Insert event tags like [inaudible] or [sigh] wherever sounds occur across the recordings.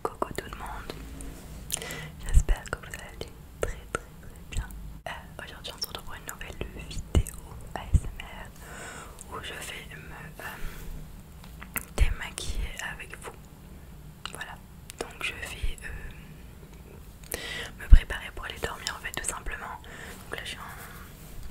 Coucou tout le monde, j'espère que vous allez très très très bien. Euh, aujourd'hui on se retrouve pour une nouvelle vidéo ASMR où je vais me euh, démaquiller avec vous. Voilà, donc je vais euh, me préparer pour aller dormir en fait tout simplement. Donc là je suis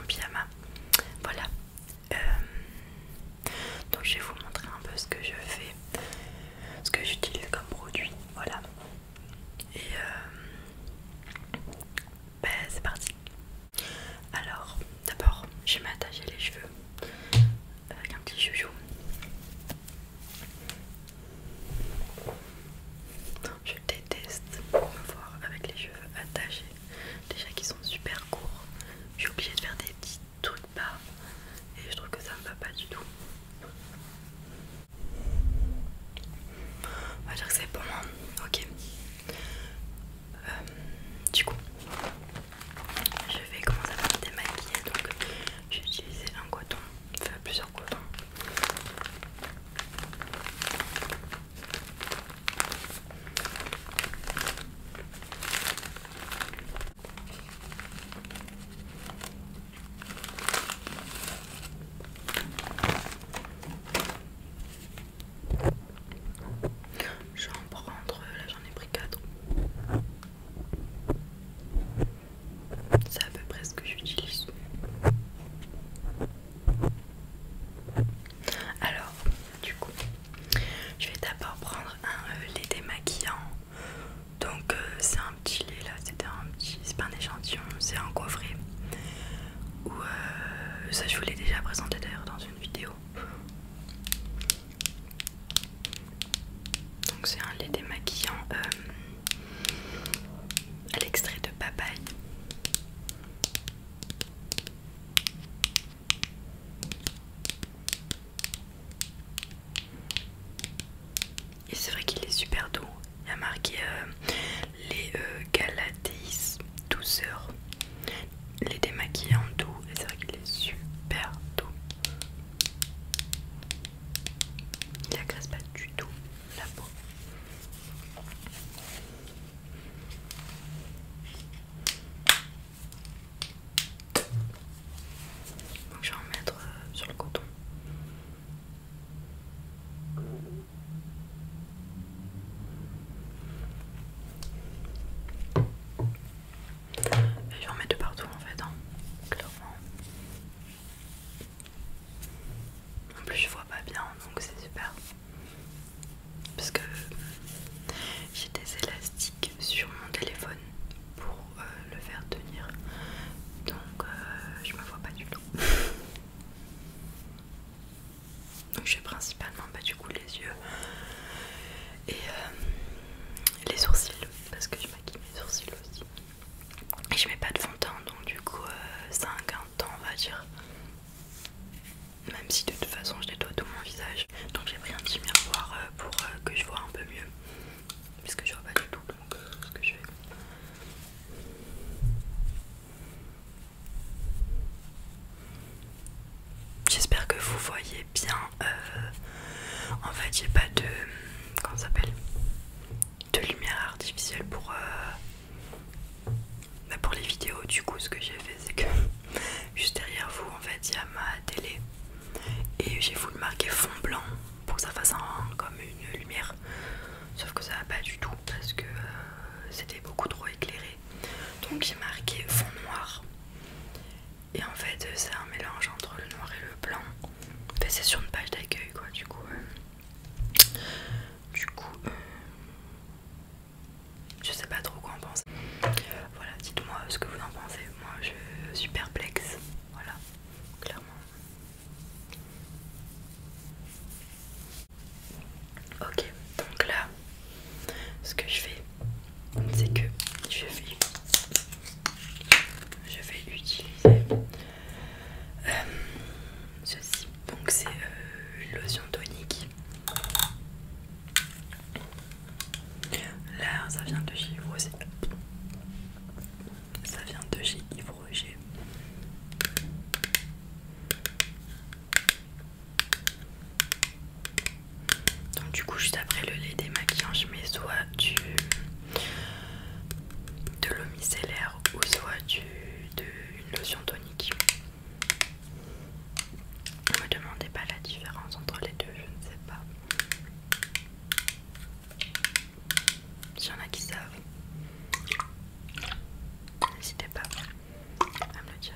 en pyjama. Voilà, euh, donc je vais vous montrer un peu ce que je fais, ce que j'utilise comme produit, voilà. Et euh, ben, c'est parti. Alors d'abord je vais m'attacher les cheveux avec un petit chouchou. Je déteste me voir avec les cheveux attachés, déjà qu'ils sont super courts. Je suis obligée de faire des petites truc pas et je trouve que ça me va pas du tout. On va dire que c'est pour moi ok. Euh, du coup, je vais commencer à me démaquiller. Donc, j'ai utilisé un coton, enfin plusieurs cotons. Je vais en prendre, là j'en ai pris quatre. C'est à peu près ce que j'utilise. Alors, du coup, je vais d'abord prendre un euh, lait démaquillant. Donc euh, c'est un petit lait là, c'est un petit, c'est pas un échantillon, c'est un coffret. Euh, ça je vous l'ai déjà présenté d'ailleurs dans une vidéo. Donc c'est un lait démaquillant à l'extrait de papaye. Et c'est vrai qu'il est super doux. Il a marqué euh, les euh, Galatis douceur, les démaquillants doux. Et c'est vrai qu'il est super doux. Il n'agresse pas du tout la peau. Donc je vais en mettre euh, sur le coton. Et je vais en mettre de partout en fait, hein, clairement. En plus je vois pas bien donc c'est super. Parce que j'ai des élastiques sur mon téléphone pour euh, le faire tenir donc euh, je me vois pas du tout [laughs] donc j'ai principalement bah, du coup les yeux et euh, les sourcils parce que je maquille mes sourcils aussi et je mets pas de fond de teint donc du coup c'est un temps on va dire même si de toute façon je nettoie tout mon visage donc j'ai pris un petit miroir euh, pour euh, que je vois un peu mieux. puisque je vois pas du tout euh, ce que je fais. J'espère que vous voyez bien. en fait, j'ai pas de. Comment ça s'appelle De lumière artificielle pour. Bah, pour les vidéos. Du coup, ce que j'ai fait, c'est que juste derrière vous en fait il y a ma télé et j'ai voulu marquer fond blanc pour que ça fasse comme une lumière sauf que ça va pas du tout parce que euh, c'était beaucoup trop éclairé donc j'ai marqué fond noir et en fait c'est un mélange entre le noir et le blanc fait c'est sur une page d'accueil quoi du coup euh. du coup euh, je sais pas trop quoi en penser. Voilà, dites-moi ce que vous en pensez. Moi, je suis perplexe. Voilà, clairement. Ok, donc là, ce que je fais, c'est que je vais, utiliser euh, ceci. Donc c'est euh, une lotion tonique. Là, ça vient de chez Ça vient de chez Donc du coup, juste après le lait démaquillant, je mets soit du de l'eau micellaire ou soit du de une lotion tonique. Ne me demandez pas la différence entre les deux, je ne sais pas. S'il y en a qui savent, n'hésitez pas à me le dire.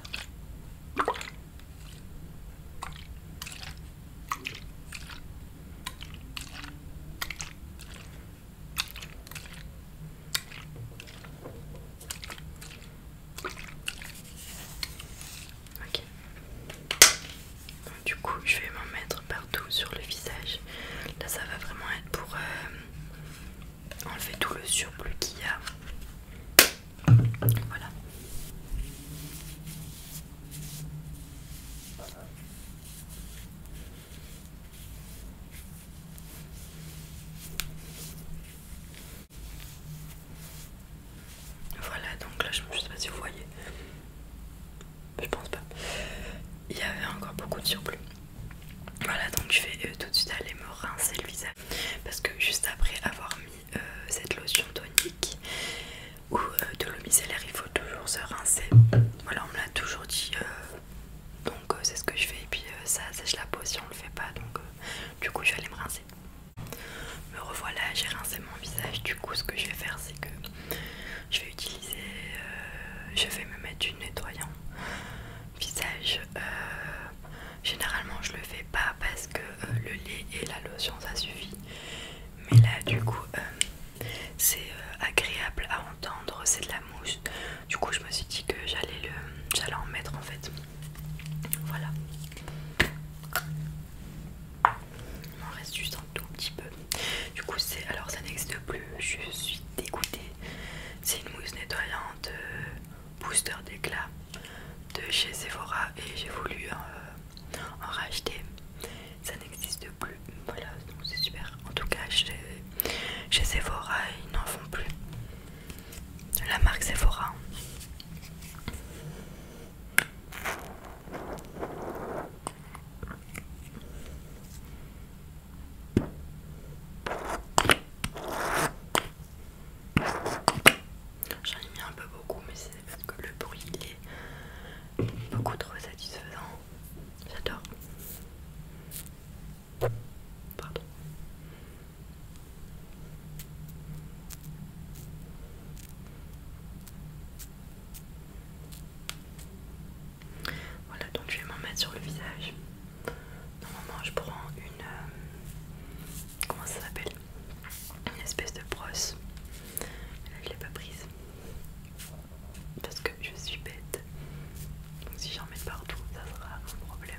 Ok. du coup, je vais m'en mettre partout sur le visage. Là, ça va vraiment être pour euh, enlever tout le surplus qu'il y a. Voilà. Voilà, donc là je ne sais pas si vous voyez. Je pense pas. Il y avait encore beaucoup de surplus. Voilà, donc je vais euh, tout de suite aller me rincer le visage. Parce que juste après avoir mis euh, cette lotion tonique ou euh, de l'eau micellaire, il faut toujours se rincer. Voilà, on me l'a toujours dit. donc c'est ce que je fais. Et puis ça sèche la peau si on le fait pas. Donc du coup, je vais aller me rincer. Me revoilà, j'ai rincé mon visage. Du coup, ce que je vais faire, c'est que je vais utiliser, euh, je vais me mettre du nettoyant visage. Euh, généralement, je le fais pas parce que euh, le lait et la lotion ça suffit. Mais là, du coup, c'est agréable à entendre. C'est de la mousse. Du coup, je me suis dit que j'allais le, j'allais en mettre en fait. Voilà. Il m'en reste juste un tout petit peu. Du coup, c'est alors ça n'existe plus. Je suis dégoûtée. C'est une mousse nettoyante euh, booster d'éclat de chez Sephora et j'ai voulu euh, en racheter. Ça n'existe plus. Voilà, donc c'est super. En tout cas, chez, chez Sephora, ils n'en font plus. La marque Sephora. J'en ai mis un peu beaucoup, mais c'est parce que le bruit est beaucoup trop satisfaisant. J'adore. Pardon. Voilà, donc je vais m'en mettre sur le visage. Normalement, je prends une. Euh, comment ça s'appelle Une espèce de brosse. Là, je l'ai pas prise. Parce que je suis bête. Donc, si j'en mets partout, ça sera un problème.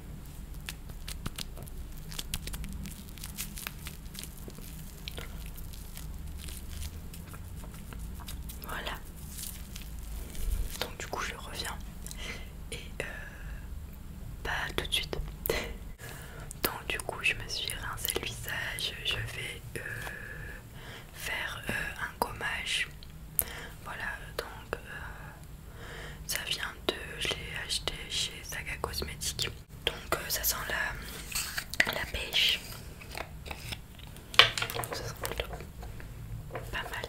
Voilà. Donc du coup je reviens et euh, pas tout de suite. Donc du coup je me suis rincé le visage. Je vais euh, faire euh, un gommage. Voilà donc euh, ça vient de je l'ai acheté chez Saga Cosmetics donc euh, ça sent la, la pêche plutôt pas mal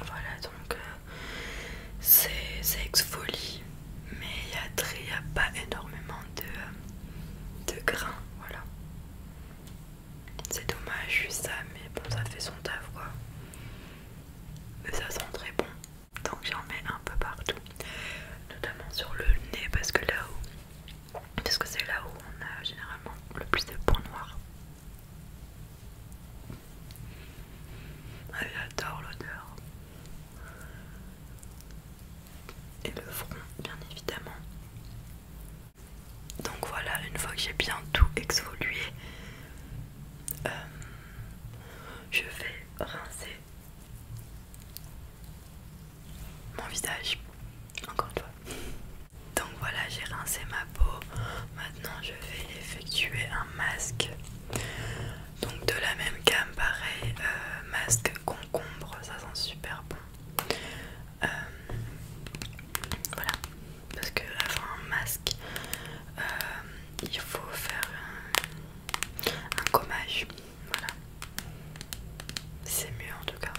voilà donc euh, c'est c'est exfolie mais il n'y a, pas énormément euh, de, grains voilà c'est dommage ça mais bon ça fait son taf quoi mais ça sent très bon donc j'en mets un peu partout notamment sur le nez parce que là où parce que c'est là où on a généralement le plus de points noirs ah, j'adore l'odeur et le front bien évidemment donc voilà une fois que j'ai bien tout exfolié euh, je vais rincer mon visage, encore une fois. Donc voilà, j'ai rincé ma peau. Maintenant, je vais effectuer un masque. Donc de la même gamme, pareil, euh, masque concombre, ça sent super bon. Euh, voilà, parce que avant un masque, euh, il faut faire un un gommage. Voilà. C'est mieux en tout cas.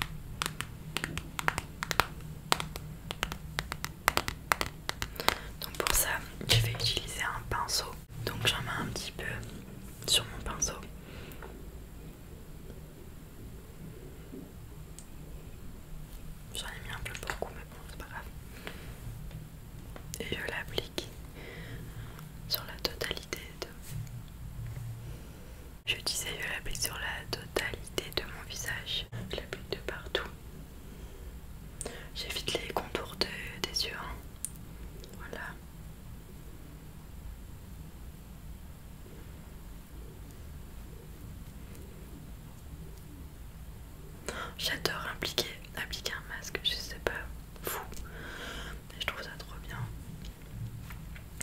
Donc pour ça, je vais utiliser un pinceau. Donc j'en mets un petit peu sur mon pinceau. J'en ai mis un peu beaucoup mais bon c'est pas grave et je l'applique sur la totalité de... Je disais je sur la totalité de mon visage. Je l'applique de partout. J'évite les contours des yeux. Hein. Voilà. J'adore appliquer un masque, je sais pas, fou. je trouve ça trop bien.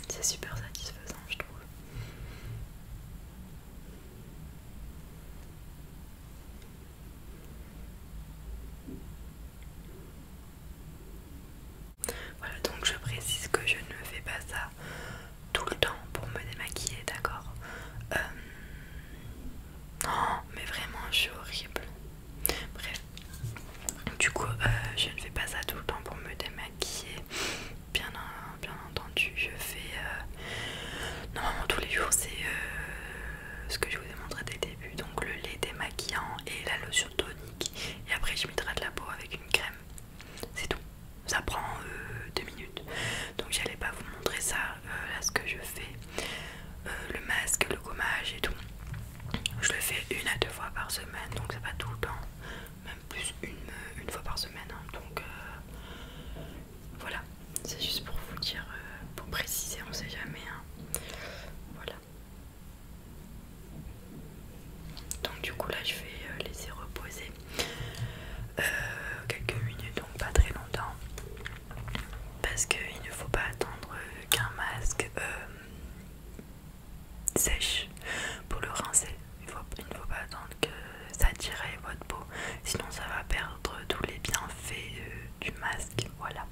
C'est super satisfaisant, je trouve. Voilà, donc je précise que je ne fais pas ça tout le temps pour me démaquiller, d'accord euh, non, oh, mais vraiment, je suis horrible. Bref, du coup, euh, je ne fais pas ça tout le temps pour me démaquiller. Bien, entendu, je fais euh, normalement tous les jours, c'est euh, ce que je vous ai montré dès le début. Donc, le lait démaquillant et la lotion tonique. Et après, je de la peau avec une crème. C'est tout. Ça prend euh, deux minutes. Donc, j'allais pas vous montrer ça là euh, ce que je fais, euh, le masque, le gommage et tout, je le fais une à deux fois par semaine, donc ça pas tout le temps, même plus une, euh, fois par semaine. Hein. donc voilà, c'est juste pour vous dire, pour préciser, on sait jamais. Hein. voilà. Donc du coup là je vais laisser reposer quelques minutes donc pas très longtemps parce qu'il ne faut pas attendre qu'un masque euh, sèche pour le rincer. Il, ne faut pas attendre que ça tire votre peau, sinon ça va perdre tous les bienfaits euh, du masque. Voilà.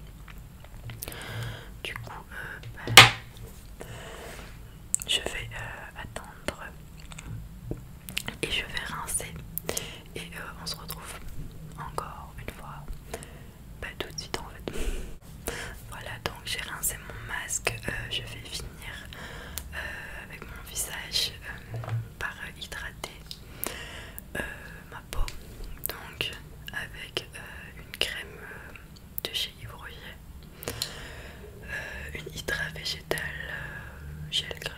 Du coup, euh, bah, je vais attendre et je vais rincer et euh, on se retrouve encore une fois pas tout de suite en fait [laughs] voilà donc j'ai rincé mon masque euh, je vais finir euh, avec mon visage par hydrater ma peau donc avec une crème de chez Yves une hydra végétale gel crème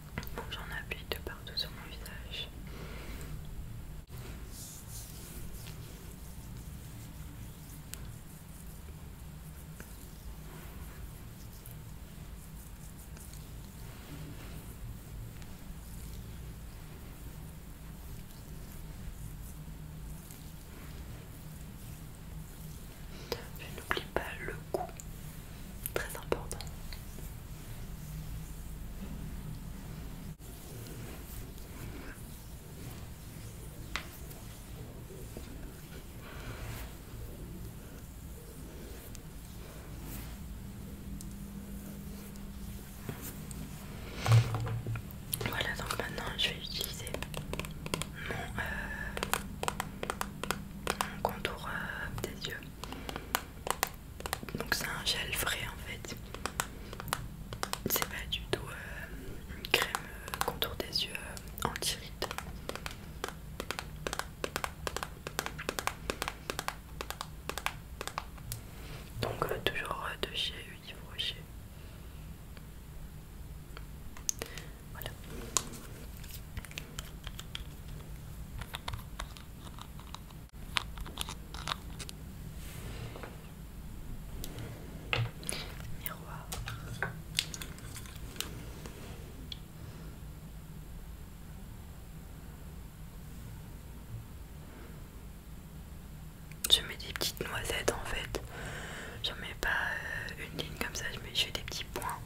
J'en applique de partout sur mon visage. Je n'oublie pas le cou très important. Voilà, donc maintenant je vais utiliser mon, euh, contour euh, des yeux. Donc c'est un gel frais en fait. C'est pas du tout euh, une crème euh, contour des yeux euh, anti-rides. Donc toujours de chez Yves Voilà. Miroir. Je mets des petites noisettes en fait. J'en mets pas euh, une ligne comme ça, je, mets, je des petits points.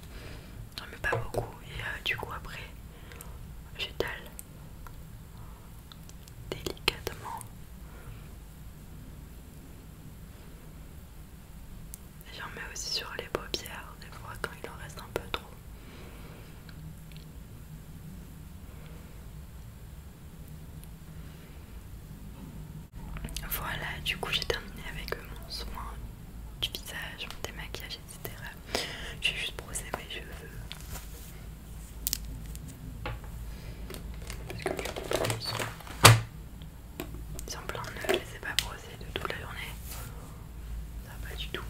J'en mets pas beaucoup et euh, du coup après J'étale délicatement. J'en mets aussi sur les paupières, des fois quand il en reste un peu trop. Voilà, du coup j'ai terminé avec mon soin du visage, mon démaquillage j'ai juste brossé mes cheveux. Parce que ne sont pleins de je les ai pas brossés de toute la journée. Ça va pas du tout.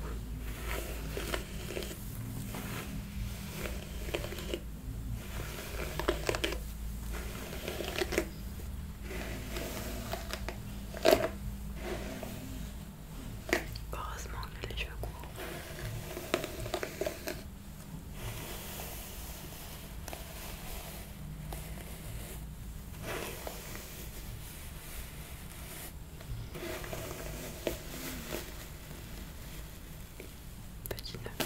Heureusement que j'ai les cheveux courts. Petit nœud.